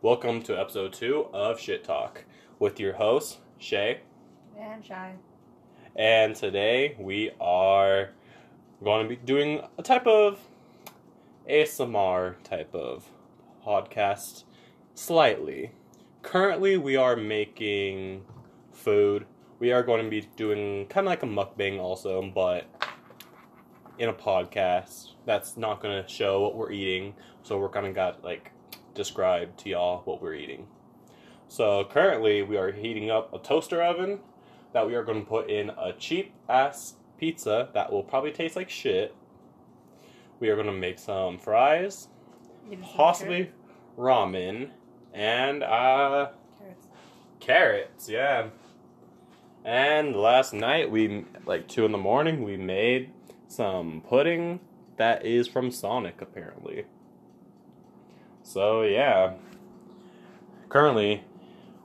Welcome to episode two of Shit Talk with your host Shay. And Shy. And today we are going to be doing a type of ASMR type of podcast, slightly. Currently, we are making food. We are going to be doing kind of like a mukbang also, but in a podcast that's not going to show what we're eating. So we're going to got like describe to y'all what we're eating. So currently we are heating up a toaster oven that we are going to put in a cheap ass pizza that will probably taste like shit. We are going to make some fries, possibly ramen, and uh carrots. carrots, yeah. And last night we like two in the morning we made some pudding that is from Sonic apparently. So yeah. Currently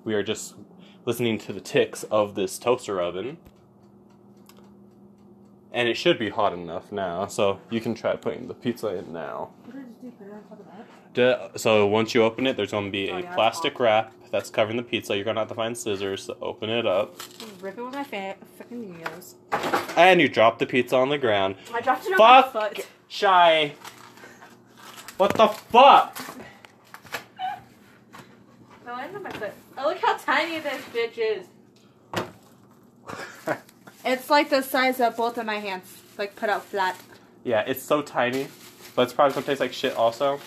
we are just listening to the ticks of this toaster oven. And it should be hot enough now, so you can try putting the pizza in now. Do, so once you open it, there's going to be oh, a plastic wrap that's covering the pizza. You're gonna have to find scissors to open it up. Rip it with my fa- fucking nails. And you drop the pizza on the ground. I dropped it fuck on my foot. Shy. What the fuck? No, I on my foot. Oh, look how tiny this bitch is. it's like the size of both of my hands, like put out flat. Yeah, it's so tiny, but it's probably gonna taste like shit also.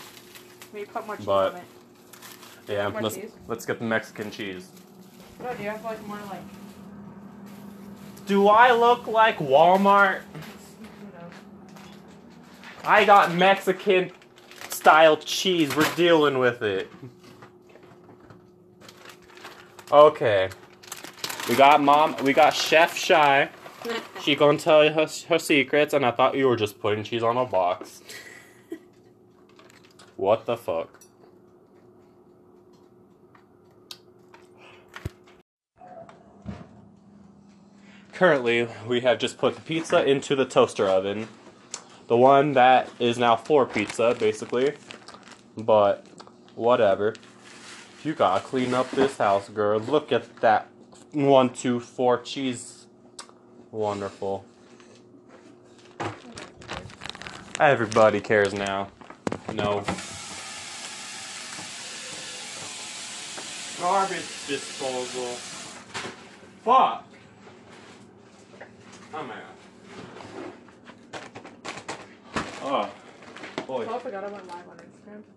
We put more cheese on it. Yeah, let's let's get the Mexican cheese. do I look like Walmart? I got Mexican style cheese. We're dealing with it. Okay. We got mom. We got Chef Shy. she gonna tell you her, her secrets, and I thought you were just putting cheese on a box. what the fuck? Currently, we have just put the pizza into the toaster oven. The one that is now for pizza, basically. But, whatever. You gotta clean up this house, girl. Look at that one, two, four cheese Wonderful. Everybody cares now. No. Garbage disposal. Fuck. Oh my god. Oh. Boy. Oh,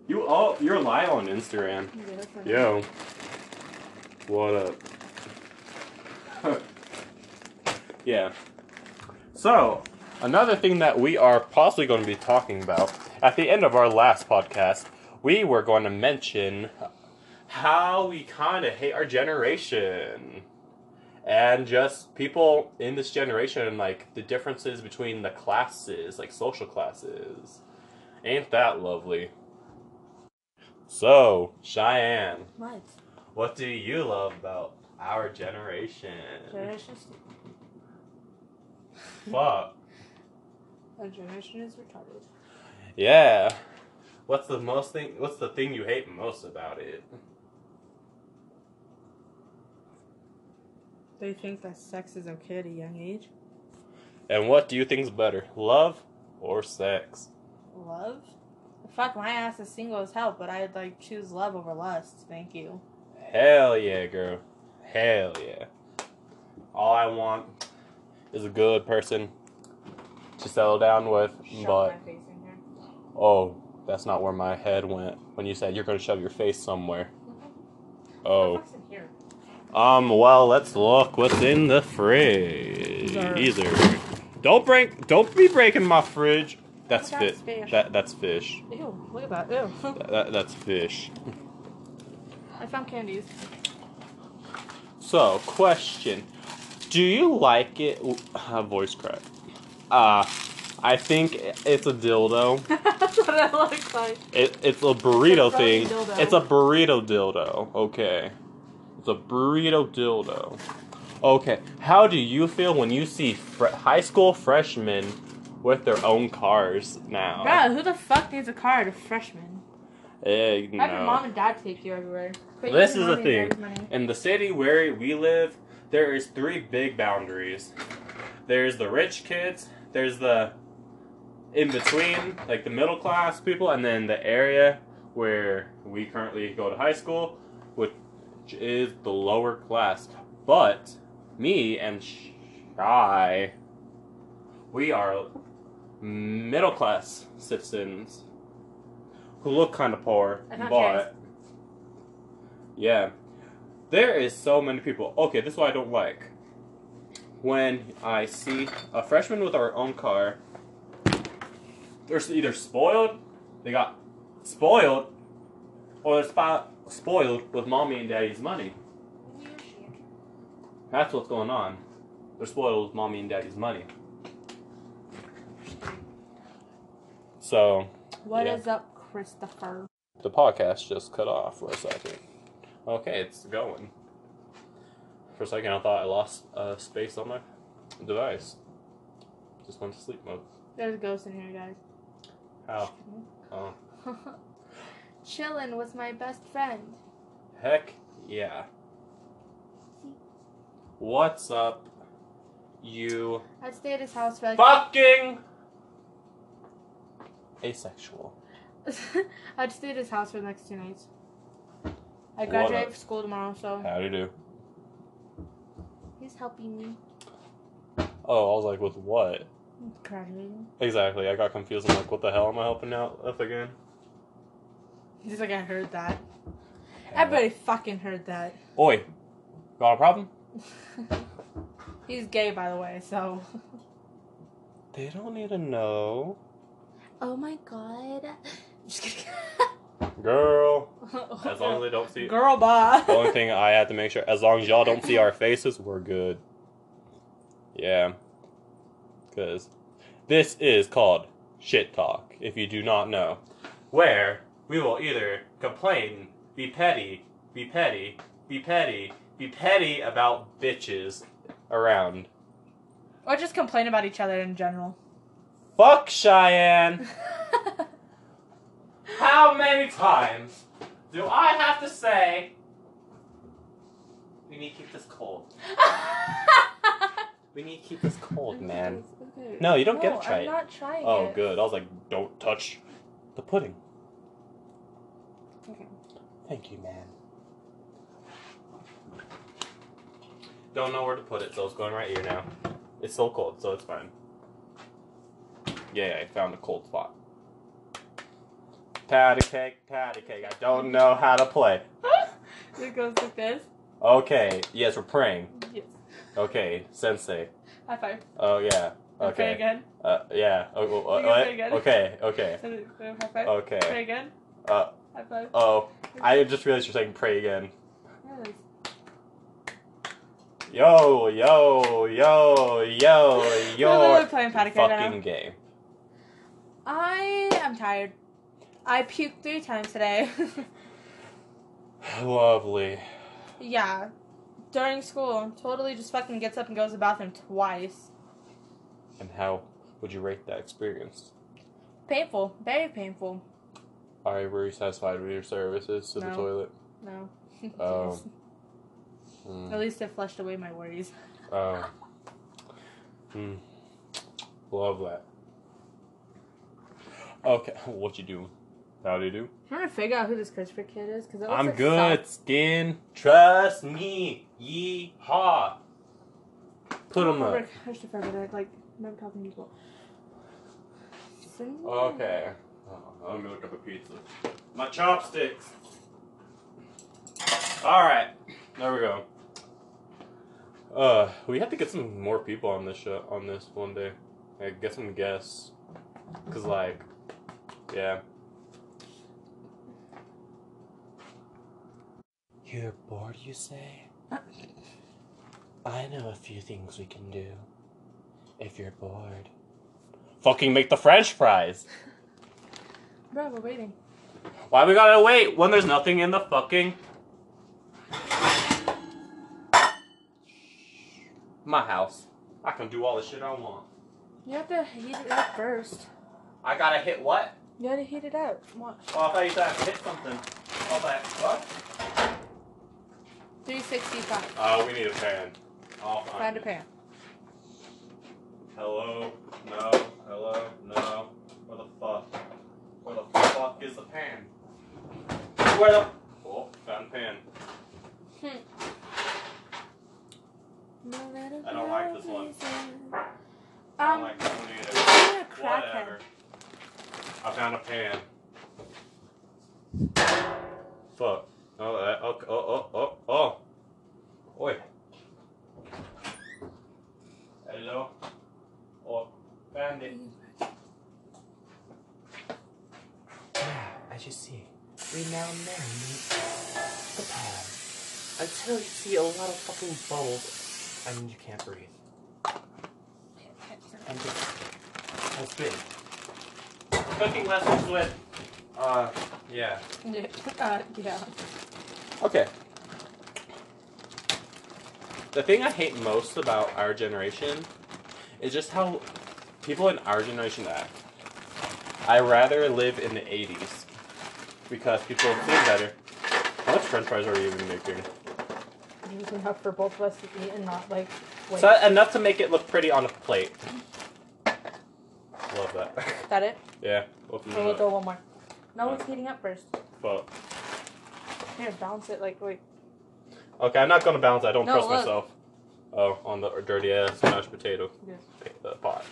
you all, you're live on Instagram. Yo. What up? yeah. So, another thing that we are possibly going to be talking about at the end of our last podcast, we were going to mention how we kind of hate our generation and just people in this generation and like the differences between the classes, like social classes. Ain't that lovely? So, Cheyenne. What? do you love about our generation? Generation. Fuck. generation is retarded. Yeah. What's the most thing? What's the thing you hate most about it? They think that sex is okay at a young age. And what do you think's better, love or sex? Love? Fuck, my ass is single as hell, but I'd like choose love over lust. Thank you. Hell yeah, girl. Hell yeah. All I want is a good person to settle down with, but oh, that's not where my head went when you said you're gonna shove your face somewhere. Oh. Um, well, let's look what's in the fridge. Either. Don't break. Don't be breaking my fridge. That's, oh, that's fish. That, that's fish. Ew, look at that. Ew. that, that's fish. I found candies. So, question. Do you like it? Uh, voice crack. Uh, I think it's a dildo. that's what I like it, it's a burrito thing. It's a burrito dildo. Okay, it's a burrito dildo. Okay, how do you feel when you see high school freshmen with their own cars now? Bro, who the fuck needs a car to freshman? Eh, no. Have mom and dad take you everywhere. this is the thing. In the city where we live, there is three big boundaries. There's the rich kids. There's the in between, like the middle class people, and then the area where we currently go to high school, which is the lower class. But me and Shy, we are middle class citizens who look kind of poor, but yeah, there is so many people. Okay, this one I don't like when I see a freshman with our own car, they're either spoiled, they got spoiled, or they're spoiled with mommy and daddy's money. That's what's going on. They're spoiled with mommy and daddy's money. So. what is up, Christopher? The podcast just cut off for a second. Okay, it's going. For a second, I thought I lost uh, space on my device. Just went to sleep mode. There's a ghost in here, guys. How? Oh. Chillin' with my best friend. Heck yeah. What's up, you? i stay at his house for Fucking! Asexual. I'd stay at his house for the next two nights. I graduate from school tomorrow, so. How do you do? He's helping me. Oh, I was like, with what? Graduating. Exactly. I got confused. I'm like, what the hell am I helping out with again? He's like, I heard that. Everybody fucking heard that. Oi, got a problem? He's gay, by the way, so. They don't need to know. Oh my god. Girl. As long as they don't see. Girl, bye. The only thing I have to make sure, as long as y'all don't see our faces, we're good. Yeah. Because this is called shit talk, if you do not know. Where we will either complain, be petty, be petty, be petty, be petty about bitches around or just complain about each other in general. Fuck Cheyenne! How many times do I have to say we need to keep this cold? we need to keep this cold, man. No, you don't get to try Oh, good. I was like, don't touch the pudding. Thank you, man. Don't know where to put it, so it's going right here now. It's still cold, so it's fine. Yeah, I found a cold spot. Patty cake, patty cake. I don't know how to play. it goes like this. Okay. Yes, we're praying. Yes. Okay, sensei. High five. Oh yeah. Okay. Pray again. Uh, yeah. Oh, oh, uh, okay. Okay. Okay. High five. Okay. Pray again. Uh, High five. Oh, I just realized you're saying pray again. Yes. Yo, yo, yo, yo, yo. We're literally playing Patty Cake fucking now. game. I am tired. I puked three times today. Lovely. yeah. During school, totally just fucking gets up and goes to the bathroom twice. And how would you rate that experience? Painful, very painful. Are you satisfied with your services to the toilet? No. Oh. At hmm. least it flushed away my worries. Oh. Hmm. Love that. Okay, what you doing? How do you do? I'm trying to figure out who this Christopher kid is because I'm good. Skin, trust me. Yeehaw. Put him up. Hush for a minute. Like, never talking to oh, people. Okay. Oh, I'm gonna look up a pizza. My chopsticks. All right. There we go. Uh, we have to get some more people on this show, on this one day. Like, get some guests. Cause like, yeah. You're bored, you say? I know a few things we can do. If you're bored, fucking make the French fries. Bro, we're waiting. Why we gotta wait when there's nothing in the fucking. My house. I can do all the shit I want. You have to heat it up first. I gotta hit what? You gotta heat it up. What? Oh, I thought you thought I hit something. Oh, that. What? 365. Oh, uh, we need a pan. i find, a pan. Hello? No. Hello? No. Where the fuck? Where the fuck is the pan? Where the... Oh, found a pan. Hmm. I don't like this one. Um, like I'm a crackhead. I found a pan. Fuck. Oh, uh, oh, oh, oh, oh. oh. Oi. Hello. Oh, found it. As you see, we now marinate the pan until you see a lot of fucking bubbles. I mean, you can't breathe. I'm just. I'll Cooking lessons with. Uh, yeah. Yeah. Uh, yeah. Okay. The thing I hate most about our generation is just how people in our generation act. I rather live in the 80s because people think better how much french fries are you even making? There's enough for both of us to eat and not like waste. So enough to make it look pretty on a plate. Love that. Is that it? Yeah. Open we'll go one more. No, it's heating up first. But here, balance it like wait. Okay, I'm not gonna balance. I don't trust myself. Oh, on the dirty ass mashed potato. Yes. the pot.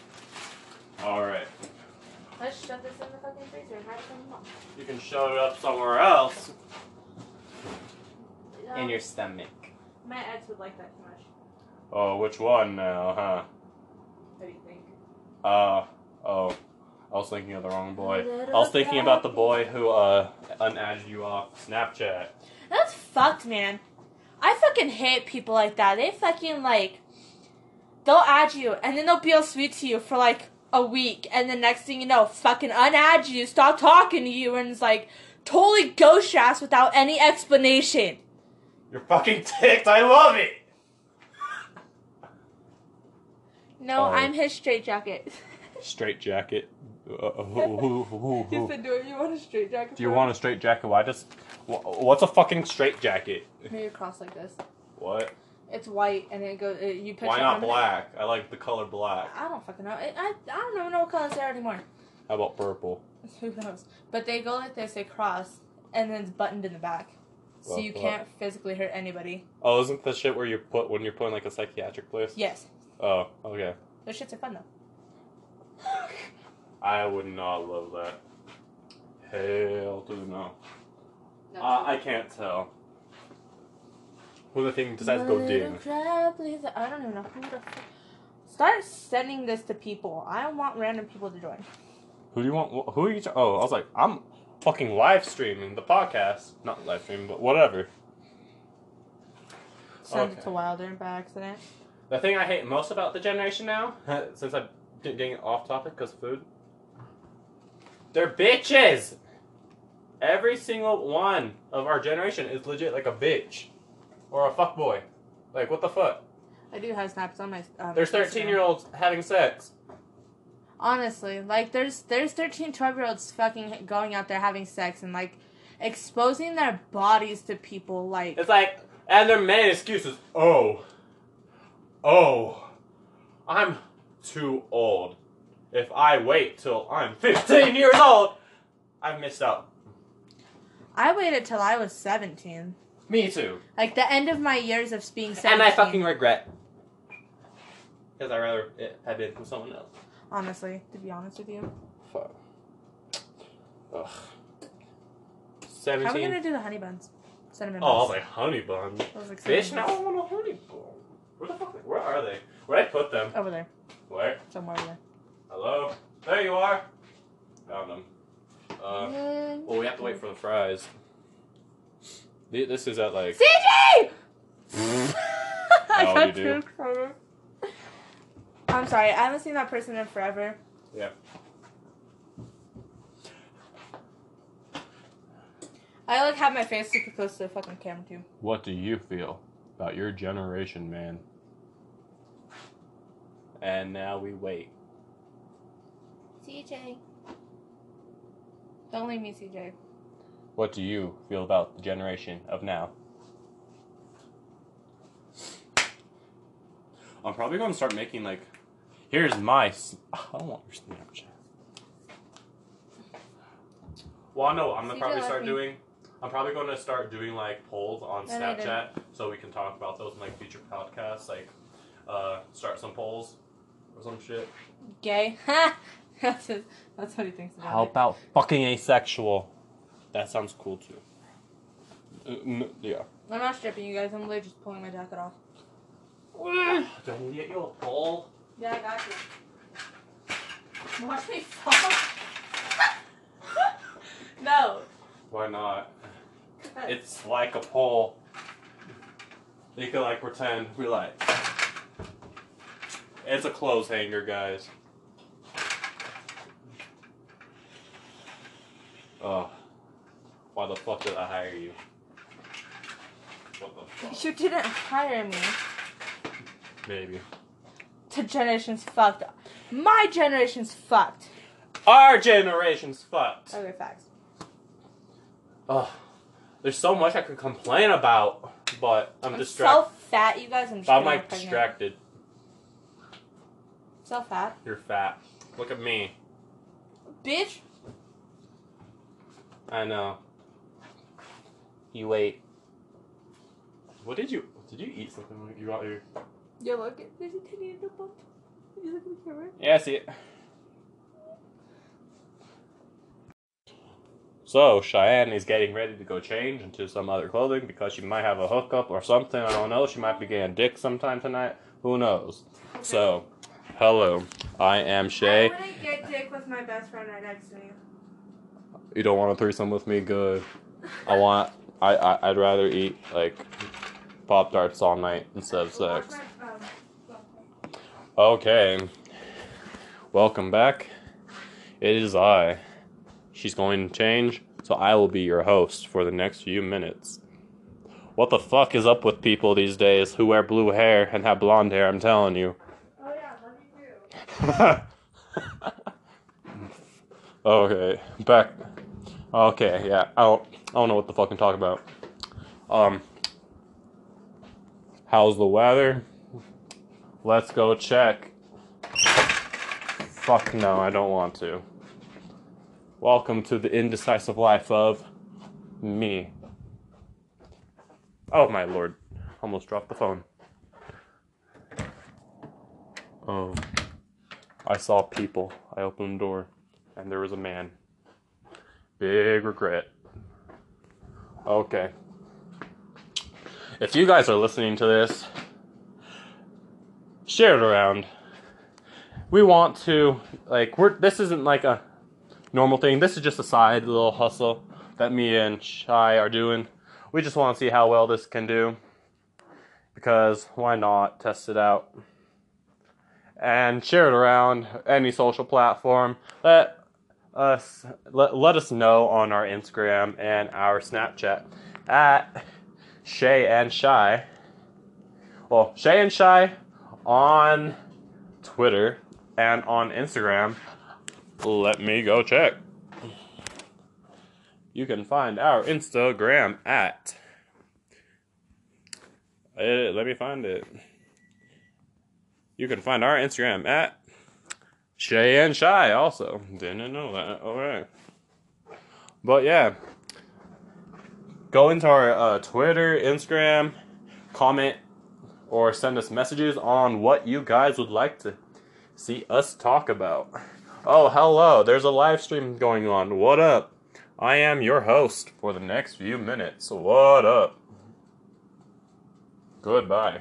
All right. Let's shove this in the fucking freezer and have it come You can shove it up somewhere else. in your stomach. My ex would like that too much. Oh, which one now, huh? What do you think? Uh, oh. I was thinking of the wrong boy. I was thinking about the boy who uh unadded you off Snapchat. That's fucked, man. I fucking hate people like that. They fucking like they'll add you and then they'll be all sweet to you for like a week and the next thing you know fucking unadd you stop talking to you and it's like totally ghost your ass without any explanation you're fucking ticked i love it no uh, i'm his straight jacket straight jacket uh, uh who, who, who, who? Said, do you want a straight jacket do you want a straight jacket why does wh- what's a fucking straight jacket maybe cross like this what? It's white, and it goes. you picture. Why not black? I like the color black. I don't fucking know. I I don't even know what colors they are anymore. How about purple? Who knows? But they go like this. They cross, and then it's buttoned in the back, so you can't physically hurt anybody. Oh, isn't the shit where you put when you're putting like a psychiatric place? Yes. Oh, okay. Those shits are fun though. I would not love that. Hell do the no. I can't tell. Who the thing does that go ding? I don't even know Start sending this to people. I want random people to join. Who do you want? Who are you? Oh, I was like, I'm fucking live streaming the podcast. Not live streaming, but whatever. Send it to Wilder by accident. The thing I hate most about the generation now, since I am getting off topic because food, they're bitches. Every single one of our generation is legit like a bitch or a fuck boy. Like what the fuck? I do have snaps on my. Um, there's thirteen year olds having sex. Honestly, like there's there's 13, 12 year olds fucking going out there having sex and like exposing their bodies to people. Like it's like, and they're making excuses. Oh, Oh, I'm too old. If I wait till I'm 15 years old, I've missed out. I waited till I was 17. Me too. Like the end of my years of being 17. And I fucking regret. Because I rather it had been with someone else. Honestly, to be honest with you. Fuck. Ugh. 17. How are we gonna do the honey buns? buns. Cinnamon oh, buns. Oh, my was honey bun. I now honey bun. Where the fuck? Where are they? Where'd I put them? Over there. Where? Somewhere there. Hello? There you are. Found them. Uh, well, we have to wait for the fries. This is at like. CJ! I Oh, you got do? too excited. I'm sorry, I haven't seen that person in forever. Yeah. I like have my face super close to the fucking camera too. What do you feel about your generation, man? And now we wait. CJ. Don't leave me, CJ. What do you feel about the generation of now? I'm probably going to start making like Here's my. I don't want your Snapchat. Well, I know I'm gonna probably start doing. I'm probably going to start doing like polls on Snapchat so we can talk about those in like future podcasts. Like, uh, start some polls or some shit. Gay. that's his, that's what he thinks about. How about fucking asexual? That sounds cool too. Uh, yeah. I'm not stripping you guys. I'm literally just pulling my jacket off. Don't get your ball. Yeah, I got you. Watch me fall. no. Why not? It's like a pole. You can like pretend we like. It's a clothes hanger, guys. Oh, why the fuck did I hire you? You didn't hire me. Maybe. The generation's fucked. up. My generation's fucked. Our generation's fucked. Okay, facts. Ugh. There's so much I could complain about, but I'm, distracted. so fat, you guys. I'm, I'm like distracted. So fat. You're fat. Look at me. Bitch. I know. You wait. What did you? Did you eat something? Like you out here? Yeah, look. There's a tiny little bump. you look at the camera? Yeah, I see it. So Cheyenne is getting ready to go change into some other clothing because she might have a hookup or something. I don't know. She might be getting dick sometime tonight. Who knows? So, hello, I am Shay. I wouldn't get dick with my best friend right next to me. You don't want to throw some with me? Good. I want. I, I I'd rather eat like pop tarts all night instead of sex. Oh, okay. Welcome back. It is I. She's going to change, so I will be your host for the next few minutes. What the fuck is up with people these days who wear blue hair and have blonde hair? I'm telling you. Oh yeah, let me do. okay, back. Okay, yeah. I I don't know what the fuck I'm talking about. Um. How's the weather? Let's go check. Fuck no, I don't want to. Welcome to the indecisive life of me. Oh my lord, almost dropped the phone. Um, I saw people. I opened the door, and there was a man. Big regret. Okay. If you guys are listening to this, share it around. We want to like we're this isn't like a normal thing. This is just a side little hustle that me and Shai are doing. We just want to see how well this can do because why not test it out and share it around any social platform. Let us let, let us know on our Instagram and our Snapchat at Shay and Shy well, Shay and Shy on Twitter and on Instagram. Let me go check. You can find our Instagram at. Eh, let me find it. You can find our Instagram at Shay and Shy also. Didn't know that. All right. But yeah, go into our uh, Twitter, Instagram, comment, or send us messages on what you guys would like to see us talk about. Oh, hello, there's a live stream going on. What up? I am your host for the next few minutes. What up? Goodbye.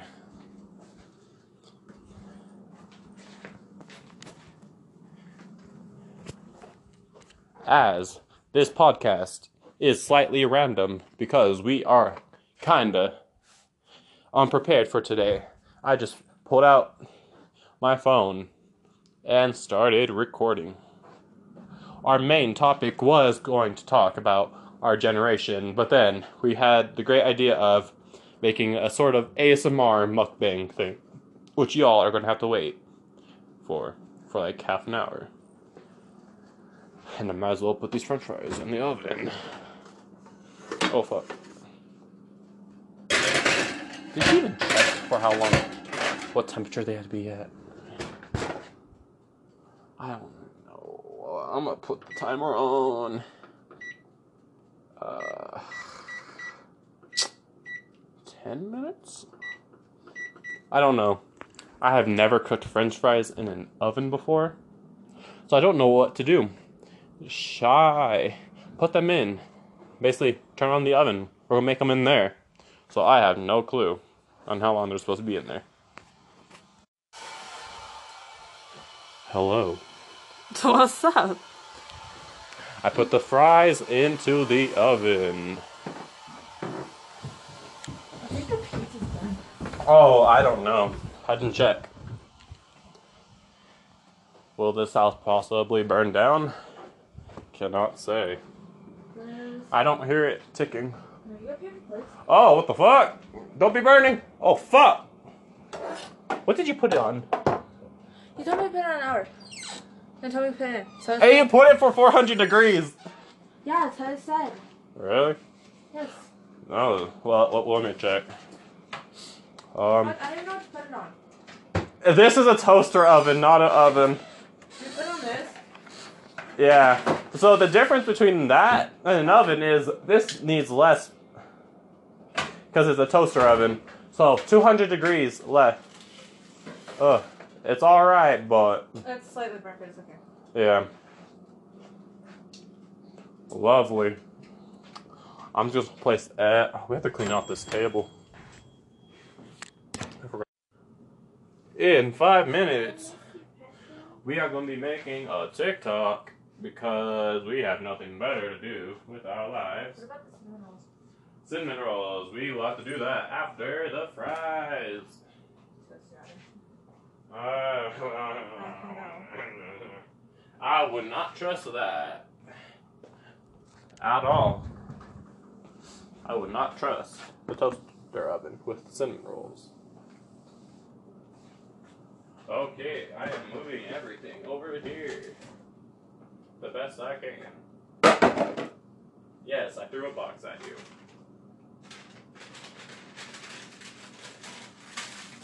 As this podcast is slightly random because we are kinda unprepared for today. I just pulled out my phone and started recording. Our main topic was going to talk about our generation, but then we had the great idea of making a sort of ASMR mukbang thing, which y'all are going to have to wait for for like half an hour. And I might as well put these french fries in the oven. Oh fuck. Did you even check for how long what temperature they had to be at? I don't know. I'm gonna put the timer on. Uh, 10 minutes? I don't know. I have never cooked french fries in an oven before. So I don't know what to do. Shy. Put them in. Basically, turn on the oven. We're gonna make them in there. So I have no clue on how long they're supposed to be in there. Hello. What's up? I put the fries into the oven. Oh, I don't know. I didn't check. Will this house possibly burn down? Cannot say. I don't hear it ticking. Oh, what the fuck? Don't be burning. Oh, fuck. What did you put it on? You told me to put it on an hour. You told me to put it in. So hey, you put it for 400 degrees. Yeah, it's what it said. Really? Yes. No. Well, let, me check. Um, I, I don't know what to put it on. This is a toaster oven, not an oven. You put on this? Yeah. So the difference between that and an oven is this needs less because it's a toaster oven. So 200 degrees less. Ugh, it's all right, but it's slightly burnt, Yeah. Lovely. I'm just placed At, oh, we have to clean off this table. In five minutes, we are gonna be making a TikTok because we have nothing better to do with our lives. What about Cinnamon rolls. We will have to do that after the fries. Uh, I would not trust that at all. I would not trust the toaster oven with cinnamon rolls. Okay, I am moving everything over here the best I can. Yes, I threw a box at you.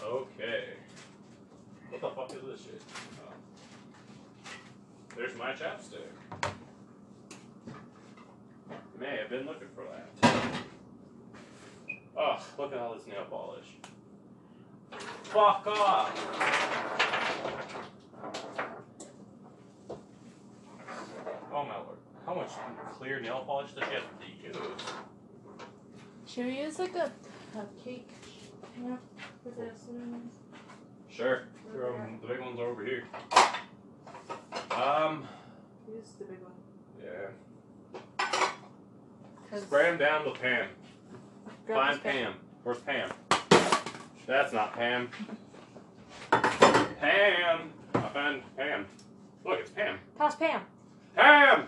Okay. What the fuck is this shit? Oh. There's my chapstick. May have been looking for that. Oh, look at all this nail polish. Fuck off! Oh my lord. How much clear nail polish does she have to use? Should we use like a cupcake? Yeah. for this one? Sure. the big ones are over here. Um, Use the big one. yeah. Cause Spray 'em down with Pam. grab Find Pam. Where's Pam? That's not Pam. Pam! I Pam. Look, it's Pam. Toss Pam. Pam!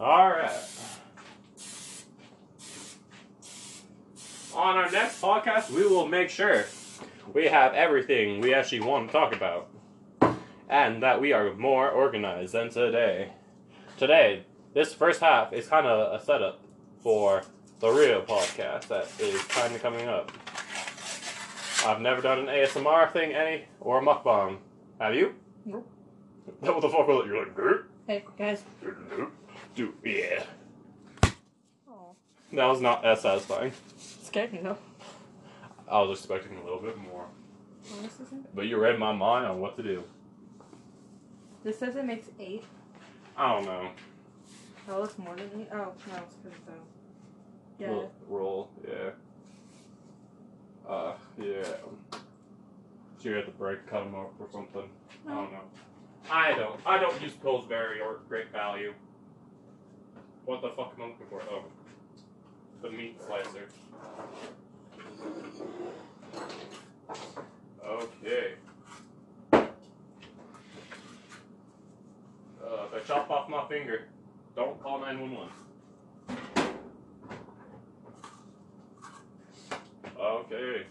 Alright. On our next podcast, we will make sure we have everything we actually want to talk about. And that we are more organized than today. Today, this first half is kind of a setup for the real podcast that is kind of coming up. I've never done an ASMR thing, any, or a mukbang. Have you? Nope. What the fuck was that? You're like, hey, guys. Dude, yeah. Aww. That was not as satisfying. It though. I was expecting a little bit more. But you read my mind on what to do. This says it makes eight. I don't know. That it's more than eight. Oh no, it's because the um, yeah roll, Yeah. Uh, yeah. So you have to break, cut them up or something. No. I don't I don't. I don't use Pillsbury or Great Value. What the fuck am I looking for? Oh, the meat slicer. Okay if uh, I chop off my finger, don't call 911. Okay.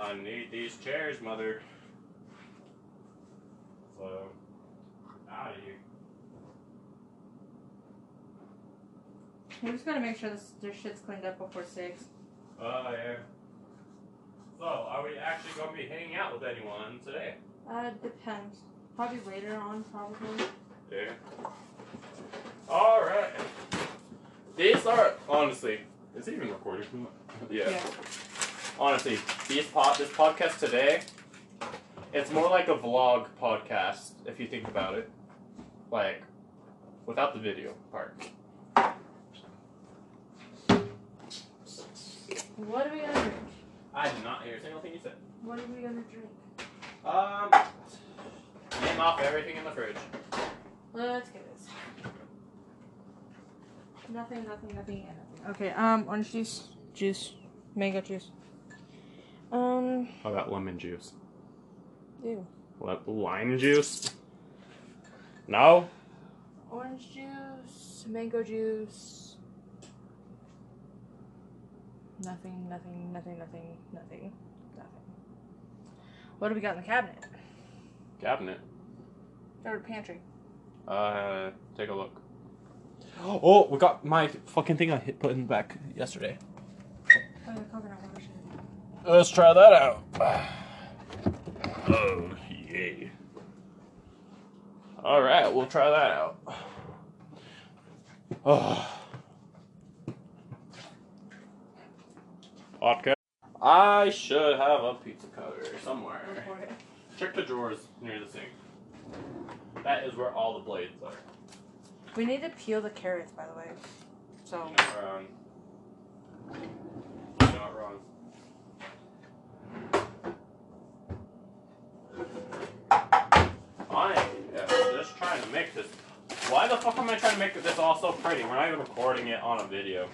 I need these chairs, mother. So, out of here. We just going to make sure this, shit's cleaned up before six. Oh, yeah. So, are we actually gonna be hanging out with anyone today? Uh, depends. Probably later on, probably. Yeah. Alright. These are, honestly, is it even recorded? yeah. Honestly, these pod, this podcast today, it's more like a vlog podcast, if you think about it. Like, without the video part. What are we gonna drink? I did not hear a single thing you said. What are we gonna drink? Um, name off everything in the fridge. Let's get this. Nothing, nothing, nothing, nothing. Okay, um, orange juice, juice, mango juice. Um, How about lemon juice. What, lime juice? No? Orange juice, mango juice. Nothing, nothing, nothing, nothing, nothing, What do we got in the cabinet? Cabinet? Or pantry? Uh, take a look. Oh, we got my fucking thing I hit put in back yesterday. Let's try that out. Oh, yeah. All right, we'll try that out. Oh. Okay. I should have a pizza cutter somewhere. Check the drawers near the sink. That is where all the blades are. We need to peel the carrots, by the way. So. not wrong. I am just trying to make this. Why the fuck am I trying to make this all so pretty? We're not even recording it on a video.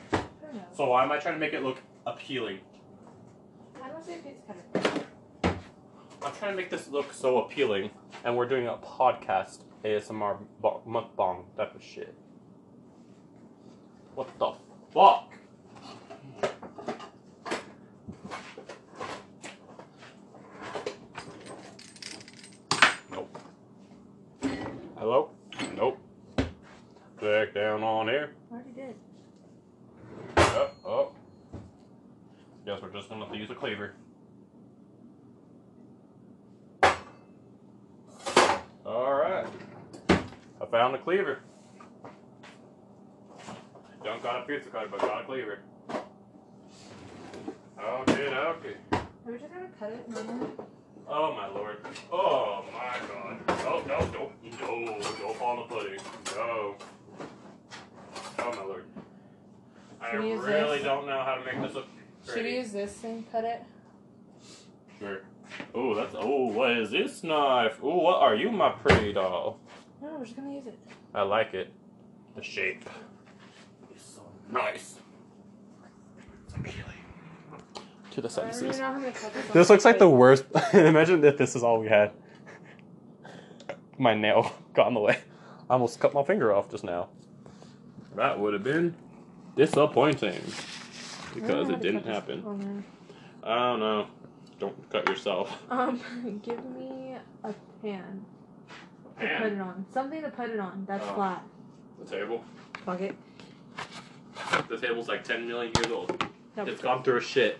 So why am I trying to make it look appealing? I don't think it's kind of. I'm trying to make this look so appealing, and we're doing a podcast ASMR mukbang type of shit. What the fuck? Nope. Hello? Nope. Back down on here. Already did. Up, oh. Guess we're just gonna have to use a cleaver. All right. I found the cleaver. Don't got a pizza cutter, but got a cleaver. Okay, okay. Are we just gonna cut it Oh my lord. Oh my god. Oh no, no, no, don't fall on the pudding. No. Oh my lord. I really don't know how to make this look pretty. Should we use this and cut it? Sure. Oh, that's. Oh, what is this knife? Oh, what are you, my pretty doll? No, we're just gonna use it. I like it. The shape. It's so nice. To the senses. This looks like the worst. Imagine that this is all we had. My nail got in the way. I almost cut my finger off just now. That would have been disappointing because it didn't happen. I don't know. Don't cut yourself. Um, give me a pan to put it on. Something to put it on that's oh. flat. The table? Fuck it. The table's like 10 million years old. it's gone through a shit.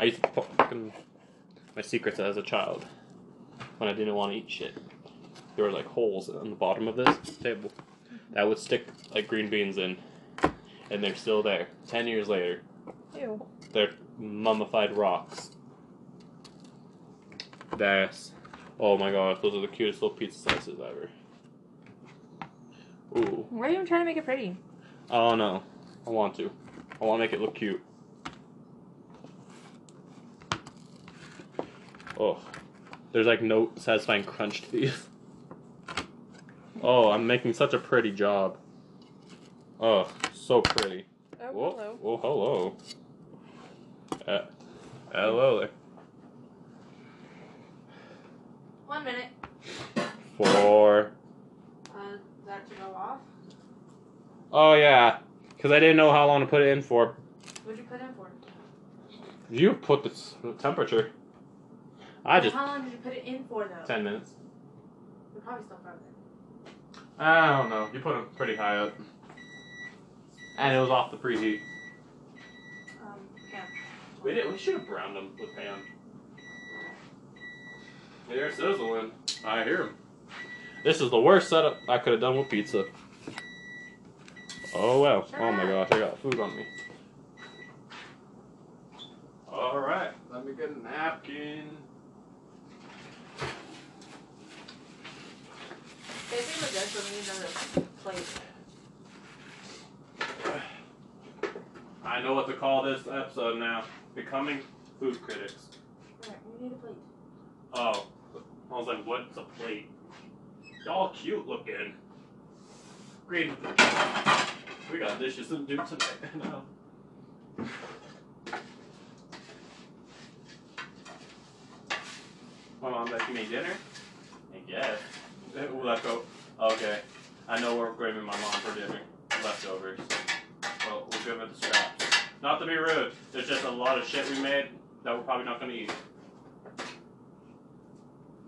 I used to fucking my secrets as a child when I didn't want to eat shit there were like holes in the bottom of this table that would stick like green beans in, and they're still there ten years later. Ew. They're mummified rocks. That's oh my gosh, those are the cutest little pizza slices ever. Ooh. Why are you trying to make it pretty? I don't know. I want to. I want to make it look cute. Oh, there's like no satisfying crunch to these. Oh, I'm making such a pretty job. Oh, so pretty. Oh, hello. Oh, hello. Uh, hello One minute. Four. Uh, oh, yeah. Because I didn't know how long to put it in for. What'd you put in for? You put the temperature. I just. How long did you put it in for though? Ten minutes. You're probably still frozen. I don't know. You put them pretty high up, and it was off the preheat. Um, yeah. We did. We should have browned them with pan. Yeah, they're sizzling. I hear them. This is the worst setup I could have done with pizza. Oh well. Oh my gosh, I got food on me. Alright, let me get a napkin. Basically, with need another plate. I know what to call this episode now. Becoming food critics. Alright, we need a plate. Oh. I was like, what's a plate? Y'all cute looking. Great. We got dishes to do tonight. no. My mom's like, you made dinner? I guess. Ooh, Okay. I know we're graving my mom for dinner. Leftovers. Well, we're good with the scraps. Not to be rude, there's just a lot of shit we made that we're probably not going to eat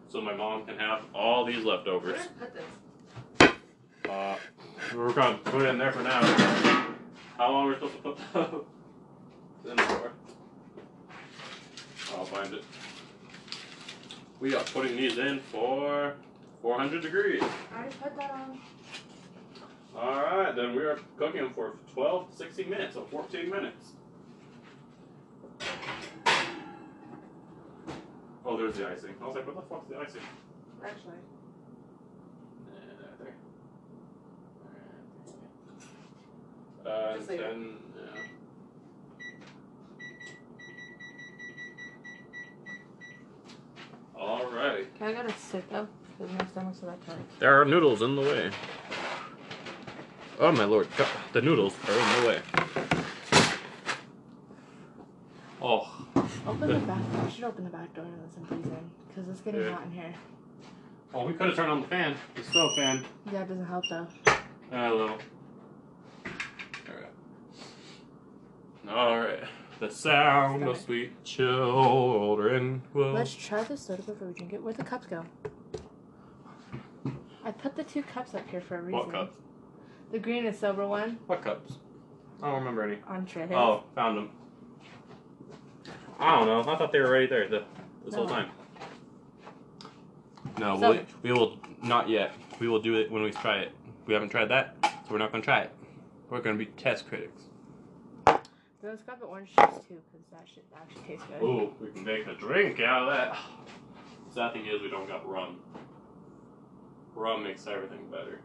so my mom can have all these leftovers. Uh, we're gonna put it in there for now. How long are we supposed to put that in for? I'll find it. We are putting these in for 400 degrees. I put that on. All right, then we are cooking for for 12, 16 minutes, or 14 minutes. Oh, there's the icing. I was like, what the fuck is the icing? Actually. Uh, then, yeah. Uh, I gotta sit up There are noodles in the way. Oh my lord, the noodles are in the way. Oh. Open the back door. I should open the back door and let some breeze in. Because it's getting hot in here. Oh, we could have turned on the fan. The stove fan. Yeah, it doesn't help though. I know. Alright. Alright. The sound of sweet children. Let's try the soda before we drink it. where the cups go? I put the two cups up here for a reason. What cups? The green and silver one. What cups? I don't remember any. On Oh, found them. I don't know. I thought they were right there the, this whole time. No, we, we will not yet. We will do it when we try it. We haven't tried that, so we're not going to try it. We're going to be test critics. Those let orange juice too, because that should actually tastes good. Ooh, we can make a drink out of that. Sad thing is, we don't got rum. Rum makes everything better.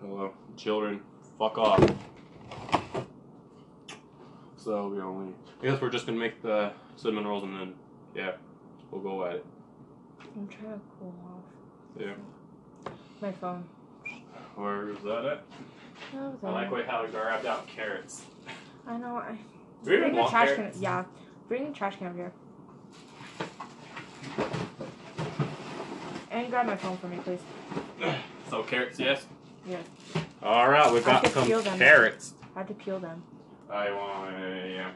Hello, children. Fuck off. So we only. I guess we're just gonna make the cinnamon rolls and then, yeah, we'll go at it. I'm trying to cool off. Yeah. My phone. Where's that at? I like way how I grabbed out carrots. I know. I bring a trash can. Yeah, bring a trash can over here. And grab my phone for me, please. so carrots, yes. Yes. All right, we got some carrots. I had to peel them. I want.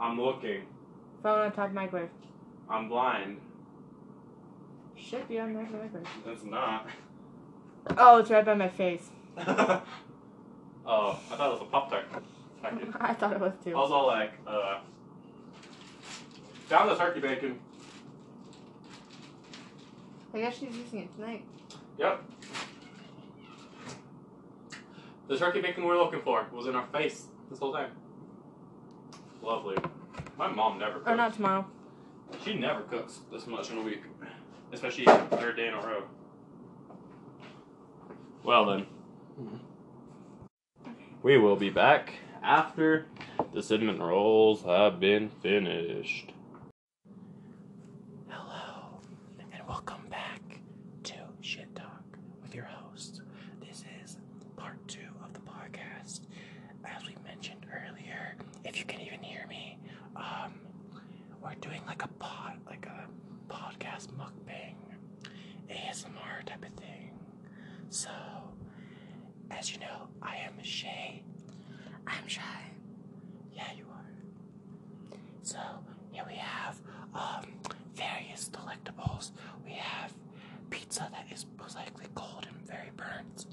I'm looking. Phone on top of microwave. I'm blind. Should be on National Records. It's not. Oh, it's right by my face. oh, I thought it was a Pop Tart I thought it was too. I was all like, uh, down the turkey bacon. I guess she's using it tonight. Yep. The turkey bacon we are looking for was in our face this whole time. Lovely. My mom never Oh, not tomorrow. She never cooks this much in a week, especially third day in a row. Well then, mm-hmm. we will be back after the cinnamon rolls have been finished. Hello, and welcome back to Shit Talk with your host. This is part two of the podcast. As we mentioned earlier, if you can even hear me, um, we're doing like a pod, like a podcast mukbang, ASMR type of thing. So, as you know, I am Shay. I'm shy. Yeah, you are. So here we have um, various delectables. We have pizza that is slightly cold and very burnt.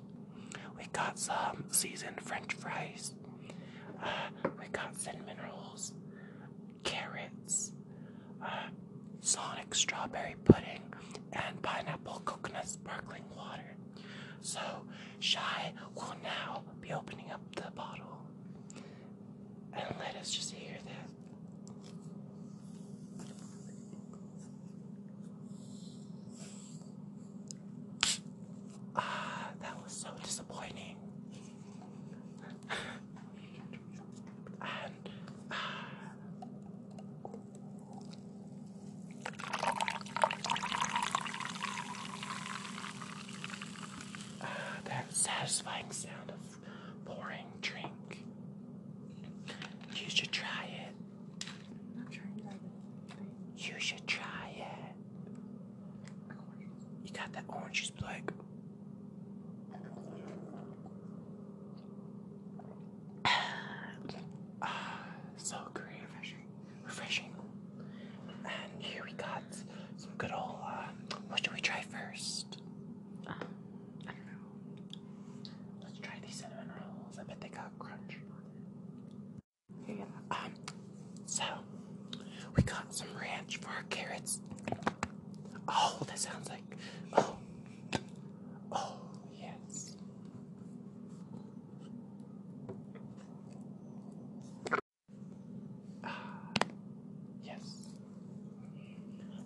We got some seasoned French fries. Uh, we got cinnamon rolls, carrots, uh, sonic strawberry pudding, and pineapple coconut sparkling water. So, Shy will now be opening up the bottle. And let us just hear that. Ah, that was so disappointing. and ah. that satisfying sound of pouring drink. You should try it. You should try it. You got that orange juice black. Ah, so great. Refreshing. Refreshing. And here we got some good old, uh, what should we try first? Um, I don't know. Let's try these cinnamon rolls. I bet they got crunch. Yeah. Um, so we got some ranch for our carrots. Oh, that sounds like oh oh yes. Uh, yes.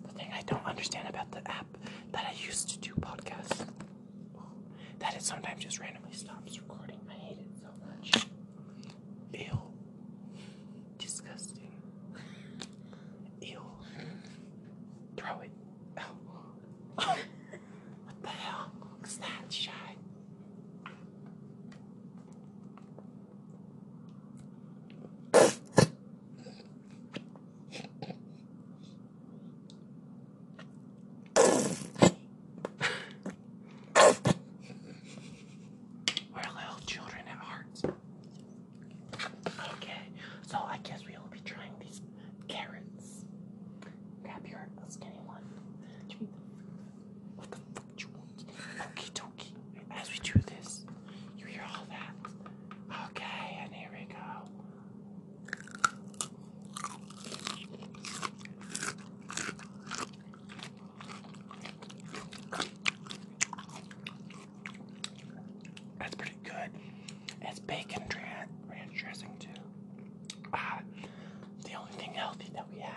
The thing I don't understand about the app that I used to do podcasts. That it sometimes just randomly stops recording. I hate it so much. Ew. Disgusting. Ew. Throw it. what the hell? What's that, Shy? We're little children at heart. Okay, so I guess we will be trying these carrots. Grab your skinny one. What the fuck you want? Okie As we do this, you hear all that. Okay, and here we go. That's pretty good. It's bacon ranch dressing too. Ah, the only thing healthy that we have.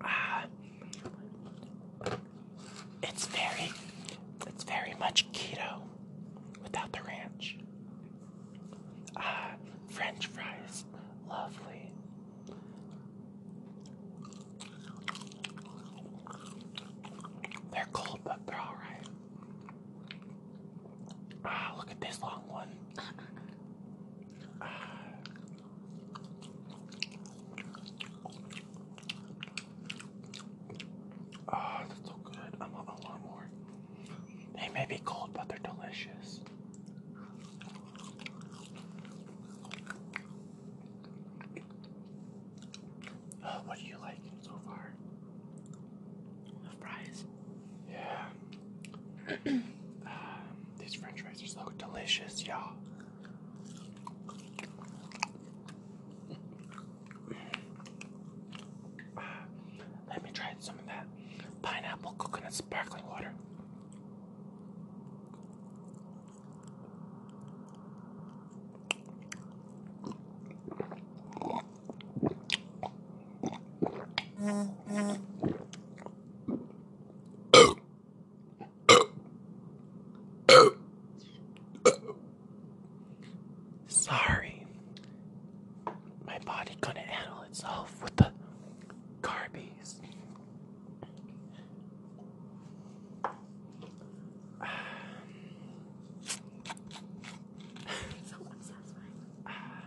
Ah, it's very, it's very much keto without the ranch. Ah, French fries, lovely. They're cold, but they're all right. Ah, look at this long one. Ah. ah. that's so good. I want, I want more. They may be cold, but they're delicious. Oh, what do you like so far? The fries. Yeah. Um, these French fries are so delicious, y'all. let me try some of that pineapple coconut sparkling water. Sorry. My body couldn't handle itself with the carbies ah,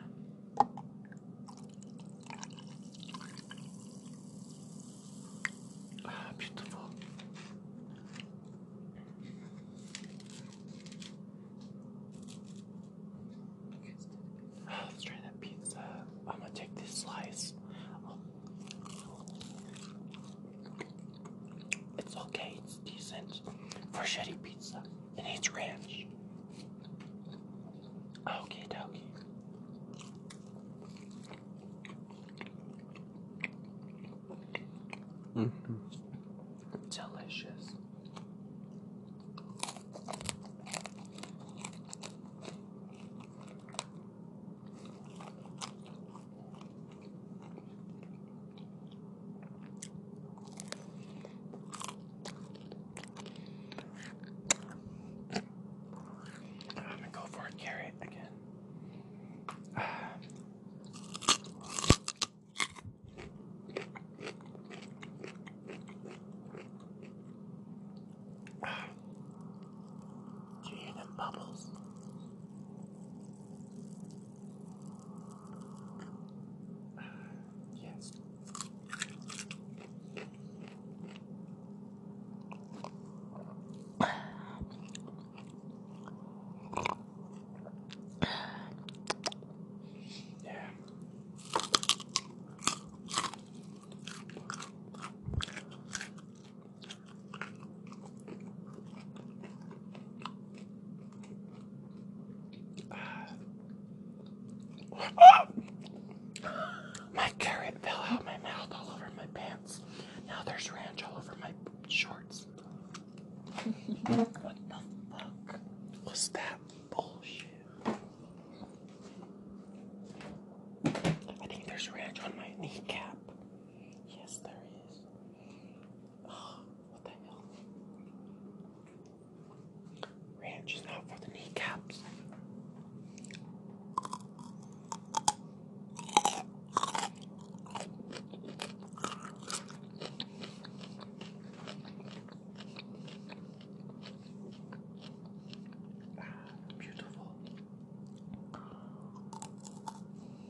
beautiful. Let's try that pizza. I'm gonna take this slice. It's okay, it's decent. Freschetti pizza. It needs ranch. Okay, dokie. -hmm. Delicious. I'm gonna go for a carrot again. Uh. Uh. Do you hear them bubbles? yes. Yeah. My carrot fell out my mouth all over my pants. Now there's ranch all over my shorts. what the fuck was that bullshit? I think there's ranch on my kneecap. Yes, there is what the hell? Ranch is not for the kneecaps. Ah, beautiful.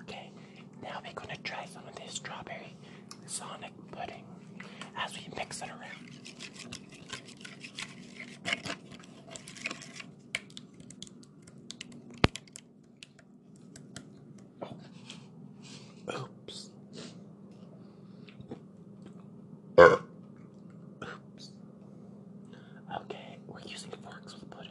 Okay, now we're gonna try some of this strawberry sonic pudding as we mix it around. Oh. Oops. Okay, we're using forks with pudding.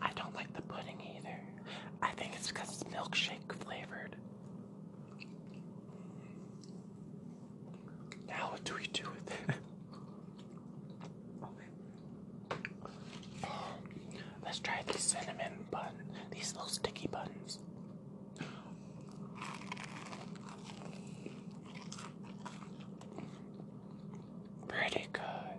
I don't like the pudding either. I think it's because it's milkshake flavored. Now, what do we do with it? let's try these cinnamon bun, these little sticky buns. Pretty good.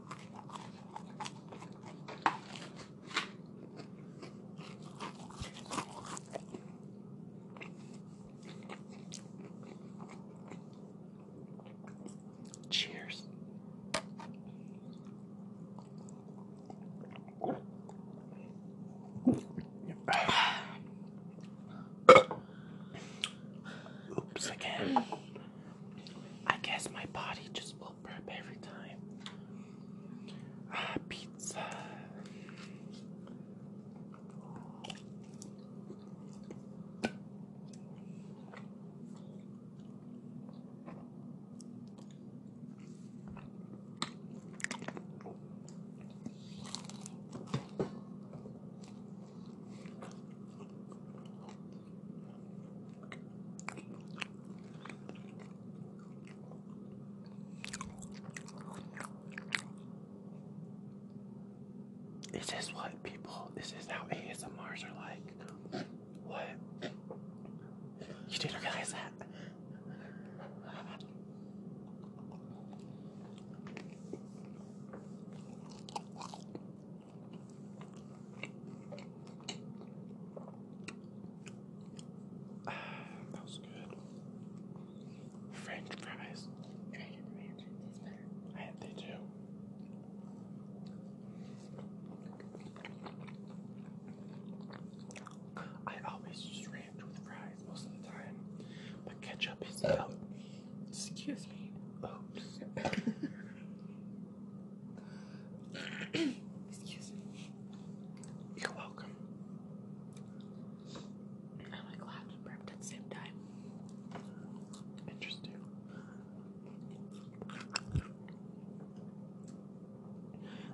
Cheers. Oops again. I guess my body just every time. Ah, pizza. This is what people, this is how ASMRs are like. What? You didn't realize that? that was good. French fries. Can I get the ranch? It's better. I had they do. I always just ranch with fries most of the time, but ketchup is. out. Uh, um, excuse me. Oops. Excuse me. You're welcome. i like loud and prepped at the same time. Interesting.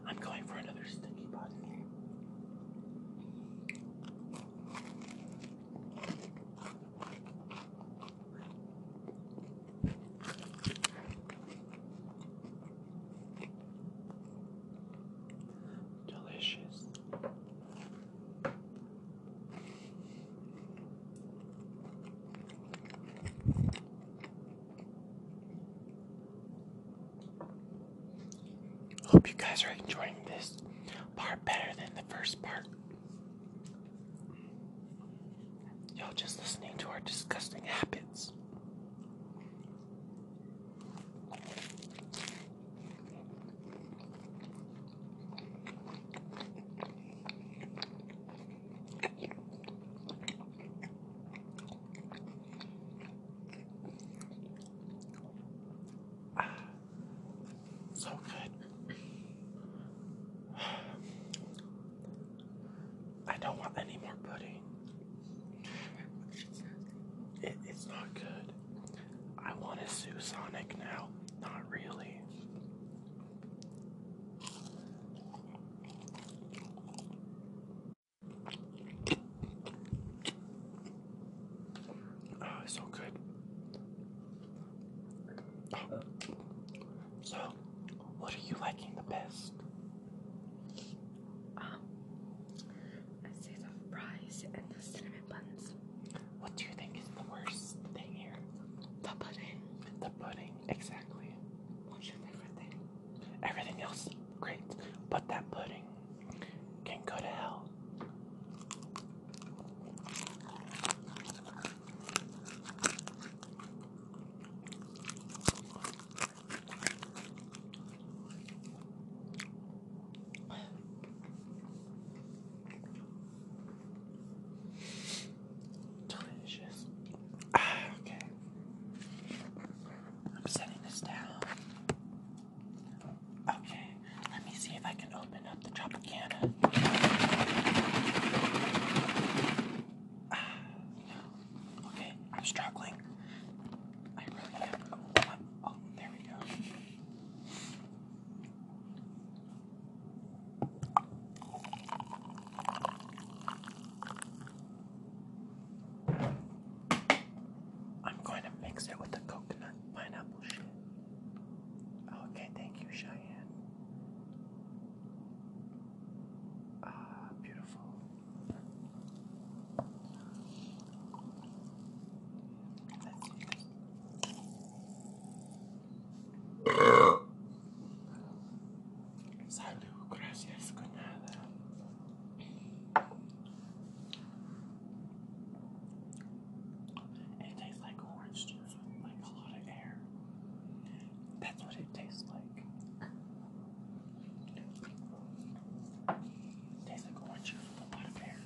I'm going for another sticky body. Delicious. Hope you guys are enjoying this part better than the first part. Y'all just listening to our disgusting habits. so good. I don't want any more pudding. it's not good. I want a Sue Sonic now. Not really. Oh, it's so good. Oh. So, what are you liking the best? Um, i say the fries and the cinnamon buns. What do you think is the worst thing here? The pudding. The pudding, exactly. What's your favorite thing? Everything else, great. But that pudding can go to hell. Delicious. okay. I'm setting this down. Okay, let me see if I can open up the Tropicana. no. Ah, Okay, I'm struggling. I really am. Oh, there we go. I'm going to mix it with the coconut pineapple shit. Oh, okay, thank you, Cheyenne. Ah, beautiful. Salud, gracias, con nada. It tastes like orange with like a lot of air. That's what it tastes like like. Tastes like orange juice with a lot of pear.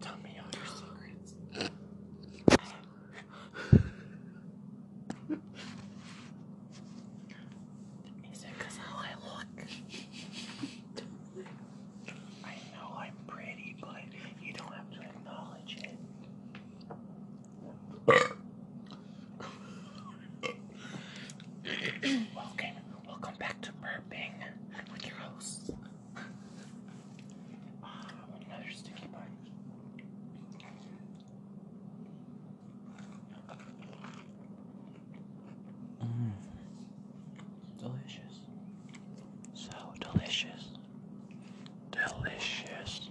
Tell me all your secrets. is how I look. I know I'm pretty, but you don't have to acknowledge it. welcome, welcome back to burping with your host. Uh, um, mm. Delicious. So delicious. Delicious.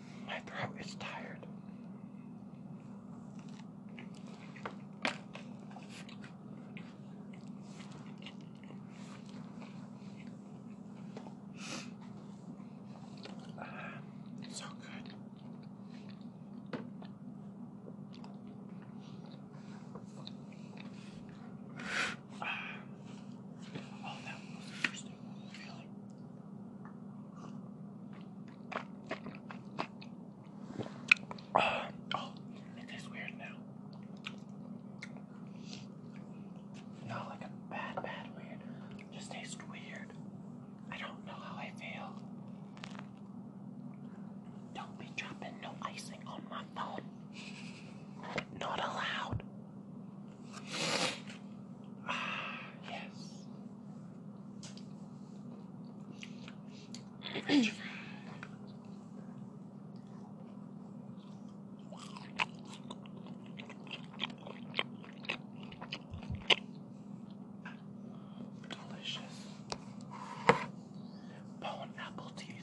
My throat is tired. so good. Ah. oh, that oh, it tastes weird now. Not like a bad, bad weird. just tastes weird. I don't know how I feel. Don't be dropping no icing on my phone. Not allowed. Ah, yes. Delicious. Bone teeth.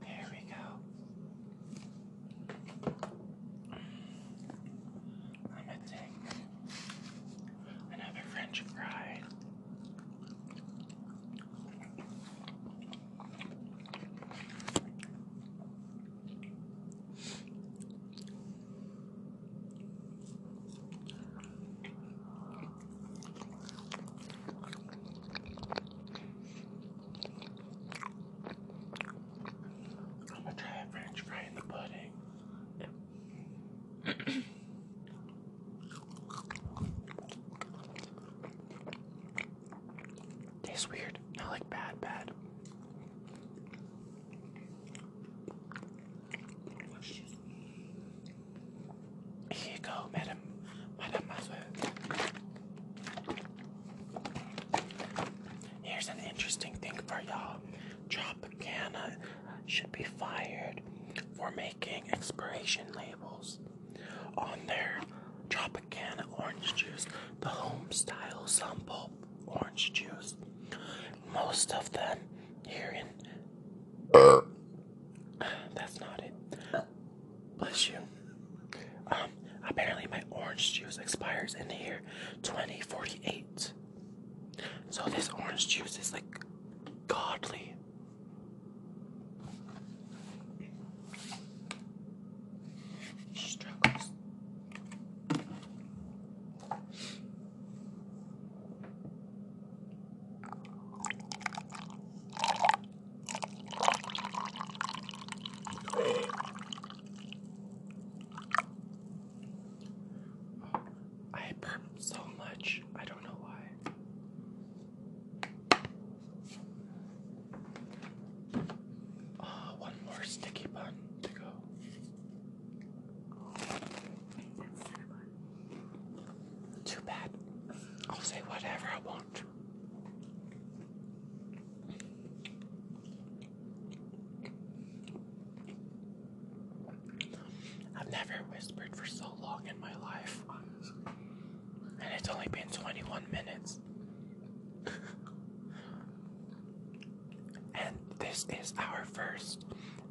There we go. I'm going another French fry. I'm gonna try french fry in the pudding. Tastes weird, not like bad, bad. Here you go, Madam, Madam Here's an interesting thing for y'all. Tropicana should be fired for making expiration labels on their Tropicana orange juice, the home style orange juice. Most of them here in. Uh. That's not it. Bless you. Um, apparently my orange juice expires in the year 2048. So this orange juice is like godly. struggles. I burp so much. I don't know why. Uh, one more sticky bun to go. Too bad. I'll say whatever I want. I've never whispered for so long in my life. And it's only been 21 minutes. and this is our first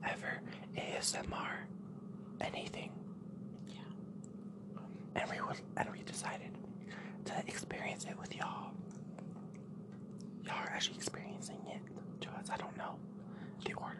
ever ASMR anything. Yeah and we and we decided to experience it with y'all. Y'all are actually experiencing it to I don't know the order.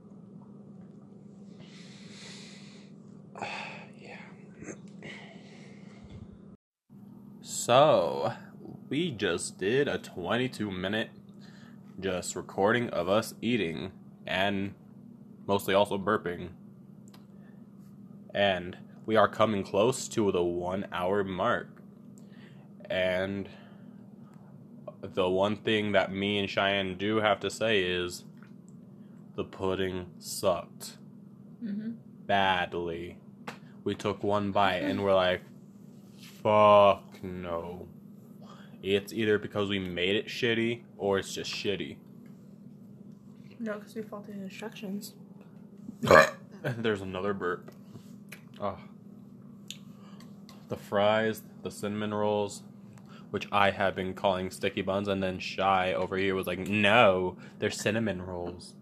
yeah. so, we just did a 22 minute just recording of us eating and mostly also burping. And we are coming close to the one hour mark. And the one thing that me and Cheyenne do have to say is the pudding sucked mm-hmm. badly. We took one bite and we're like, fuck no. It's either because we made it shitty or it's just shitty. No, because we followed the instructions. There's another burp. Oh. The fries, the cinnamon rolls, which I have been calling sticky buns, and then Shy over here was like, no, they're cinnamon rolls.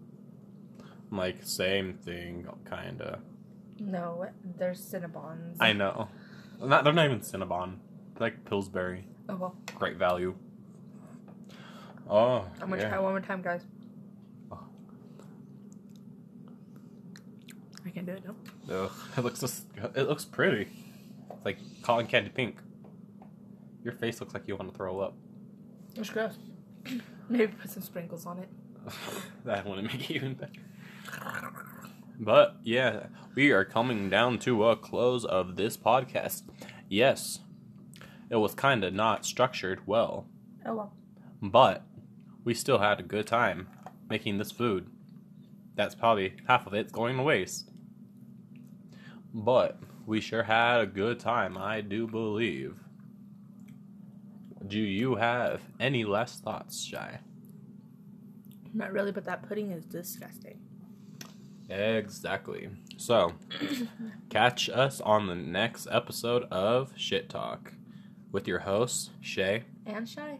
like, same thing, kinda. No, they're Cinnabons. I know. Not, they're not even Cinnabon. like Pillsbury. Oh, well. Great value. Oh. I'm gonna try one more time, guys. Oh. I can't do it No, it looks it looks pretty. It's like cotton candy pink. Your face looks like you want to throw up. It's gross. Maybe put some sprinkles on it. that wouldn't make it even better. But yeah, we are coming down to a close of this podcast. Yes, it was kind of not structured well. Oh well. But we still had a good time making this food that's probably half of it's going to waste. But we sure had a good time, I do believe. Do you have any less thoughts, Shy? Not really, but that pudding is disgusting. Exactly. So, catch us on the next episode of Shit Talk with your hosts, Shay and Shy.